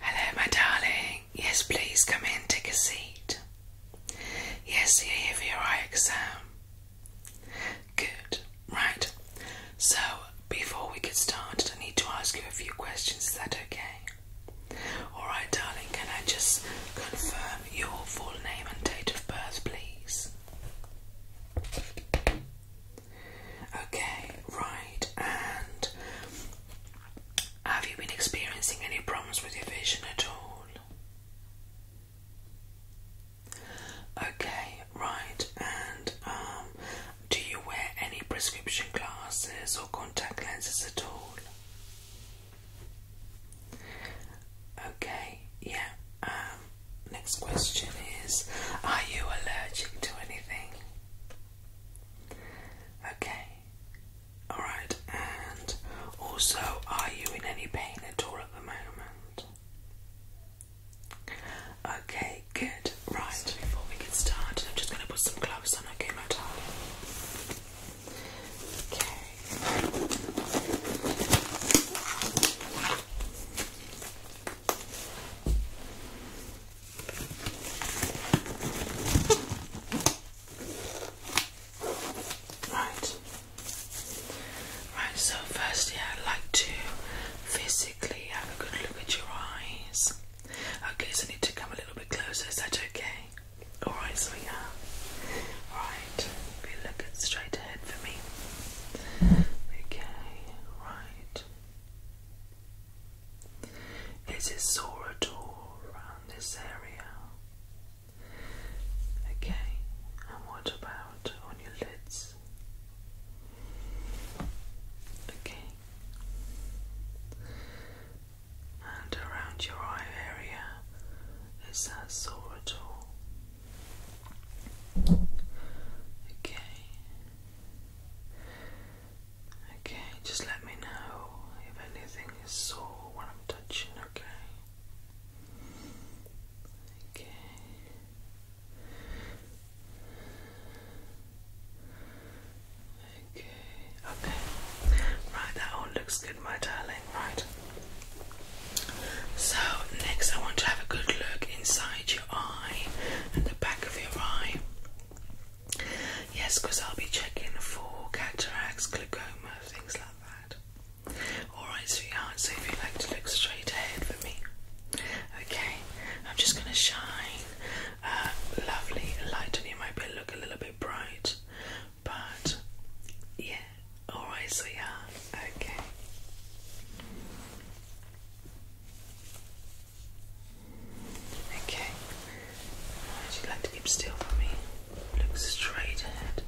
Hello, my darling. Yes, please come in, take a seat. Yes, you're here for your eye exam. Good. Right. So, before we get started, I need to ask you a few questions. Is that okay? Alright, darling, can I just confirm your full name and date of birth, please? Okay, right, and have you been experiencing any problems with your vision at all? Okay, right, and um, do you wear any prescription glasses or contact lenses at all? Okay, yeah. Um, Next question is Are you allergic to anything? Okay, alright, and also, are you in any pain at all at the moment? Okay, good, right. before we get started, I'm just going to put some gloves on, Okay. Right. Right, so firstly, I'd like to physically have a good look at your eyes. Okay, so I need to come a little bit closer, is that okay? Alright, so yeah. Alright, if you look at straight ahead for me. Okay, right. Is it sore at all around this area? Okay, and what about on your lids? Okay, and around your eye area, is that sore at all? Okay. Okay, just let me know if anything is sore when I'm touching, okay? Okay. Okay, okay. Right, that all looks good, my darling right? So, next I want to have a good look inside your eye and the back of your eye. Yes, because I'll be checking for cataracts, glaucoma, things like that. Alright, sweetheart, so if you'd like to look straight ahead for me. Okay, I'm just going to shine uh, lovely light on you. Might be look a little bit bright, but yeah, Alright, sweetheart. Okay. Okay. Would you like to keep still for me? Look straight ahead.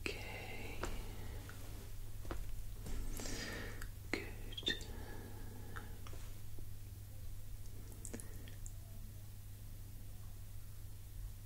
Okay. Good.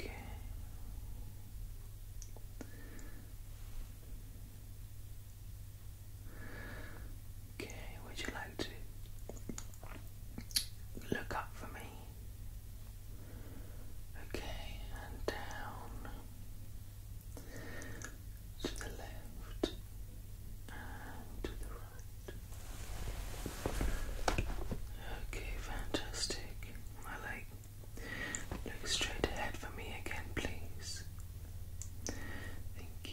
Okay. Okay, would you like to look up for me? Okay, and down to the left and to the Okay, fantastic. My leg. Look straight ahead for me again, please. Thank you.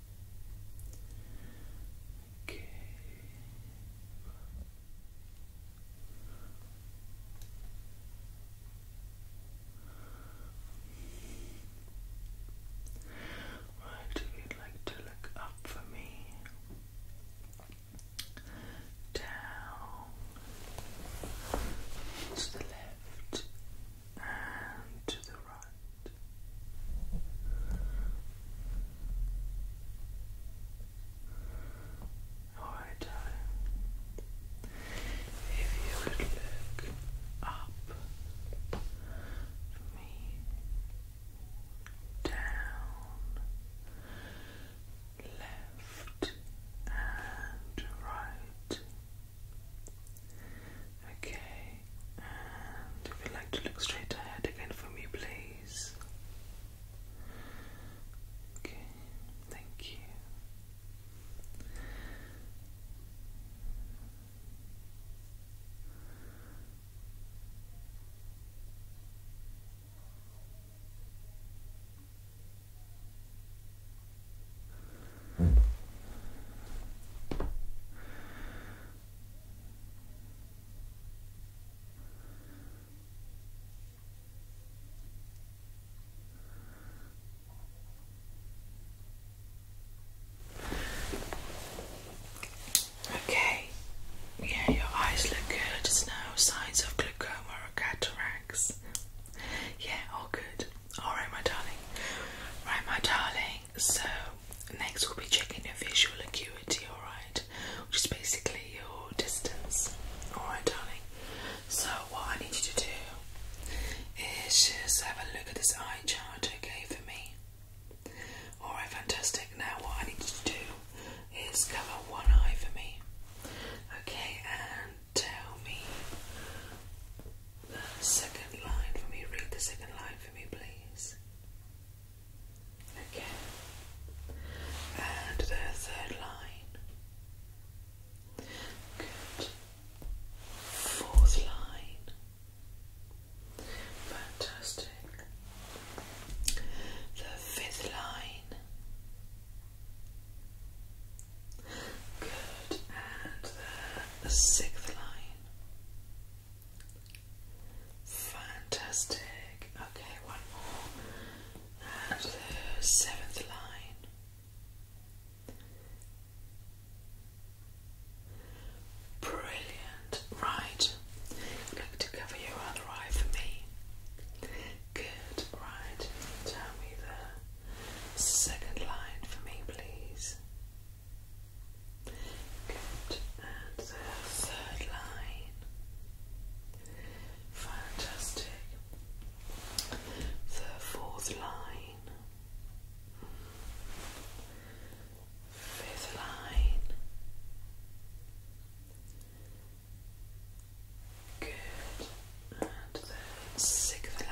Okay. Right, you like to look up for me, down to the left and to the right. Alright, uh, if you would look up me, down, left, and right. Okay, and you like to look straight ahead again for me, please. Okay, thank you. Hmm. Okay, yeah, your eyes look good. There's no signs of glaucoma or cataracts. Yeah, all good. All right, my darling. Right, my darling so next we'll be checking your visual acuity, alright? Just basically your distance. Alright, darling. So what I need you to do is just have a look at this eye chart, okay, for me. Alright, fantastic. Now what I need you to do is cover one eye for me. Okay, and tell me the second line for me. Read the second line for me, please. Okay. And the third line. Good. Fourth line. Fantastic. The fifth line. Good. And the sixth line. Fantastic. Okay, one more. And the seventh line. Brilliant. Right. i to cover your other eye for me. Good. Right. Tell me the second line for me, please. Good. And the third line. Fantastic. The fourth line. Fifth line. Good. And the sixth line.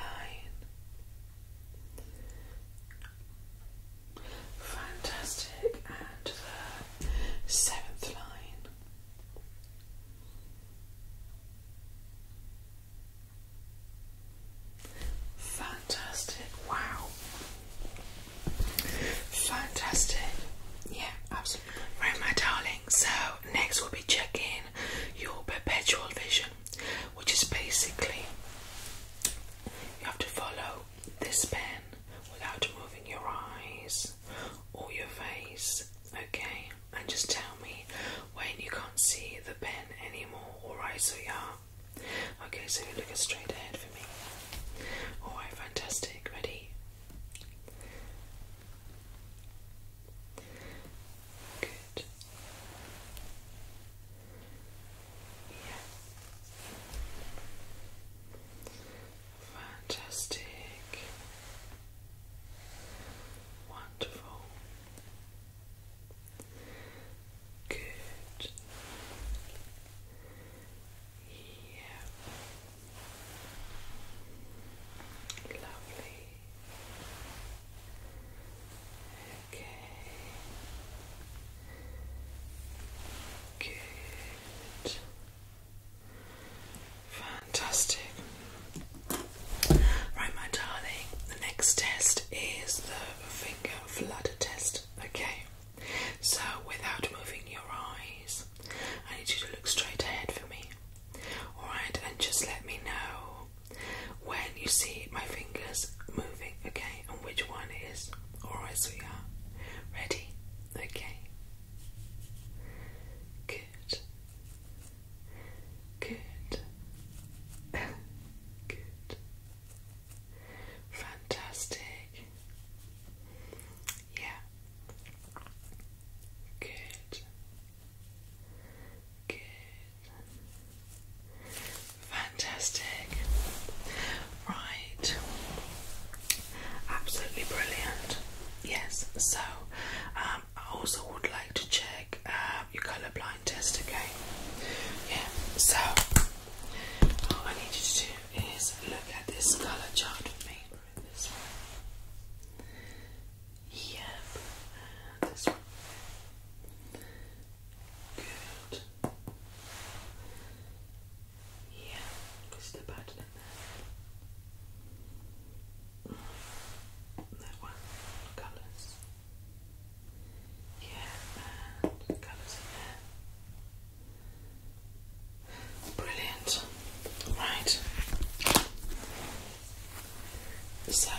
Fantastic. And the seventh line. Fantastic. Wow. Fantastic. Yeah, absolutely. Right, my darling. So, next we'll be checking your perpetual vision which is basically you have to follow this pen without moving your eyes or your face, okay? And just tell me when you can't see the pen anymore, alright? So, yeah, okay, so you look straight ahead for me, alright? Fantastic, ready? Good. Yeah. Fantastic. Wonderful. Good. Yeah. Lovely. Okay. Good. Fantastic. Right, my darling, the next test is the finger flutter test. Okay, so without moving your eyes, I need you to look straight ahead for me. Alright, and just let me know when you see my fingers moving, okay, and which one is Alright, so we are ready, okay. Good. Good. Good. Fantastic. Yeah. Good. Fantastic. Right. Absolutely brilliant. Yes. So, um, I also would like to check um, your colour blind test again. Yeah. So, all I need you to do is look at this colour chart with me. Yep. This one. Good. Yeah, just the pattern That one, colours. Yeah, colours in there. Brilliant. Right. So,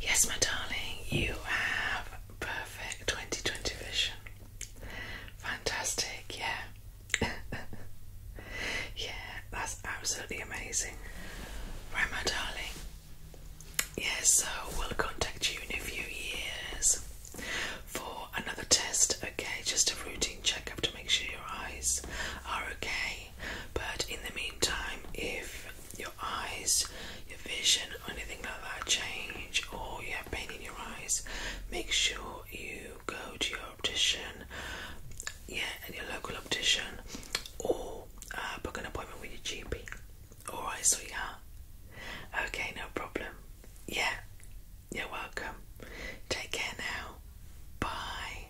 yes, my darling, you have perfect 2020 vision. Fantastic, yeah. yeah, that's absolutely amazing. Right, my darling. Yes, yeah, so we'll contact you in a few years for another test, okay? Just a routine checkup to make sure your eyes are okay but in the meantime, if your eyes, your vision, or anything like that change, or you have pain in your eyes, make sure you go to your optician, yeah, and your local optician, or uh, book an appointment with your GP. Alright, sweetheart. okay, no problem. Yeah, you're welcome. Take care now. Bye.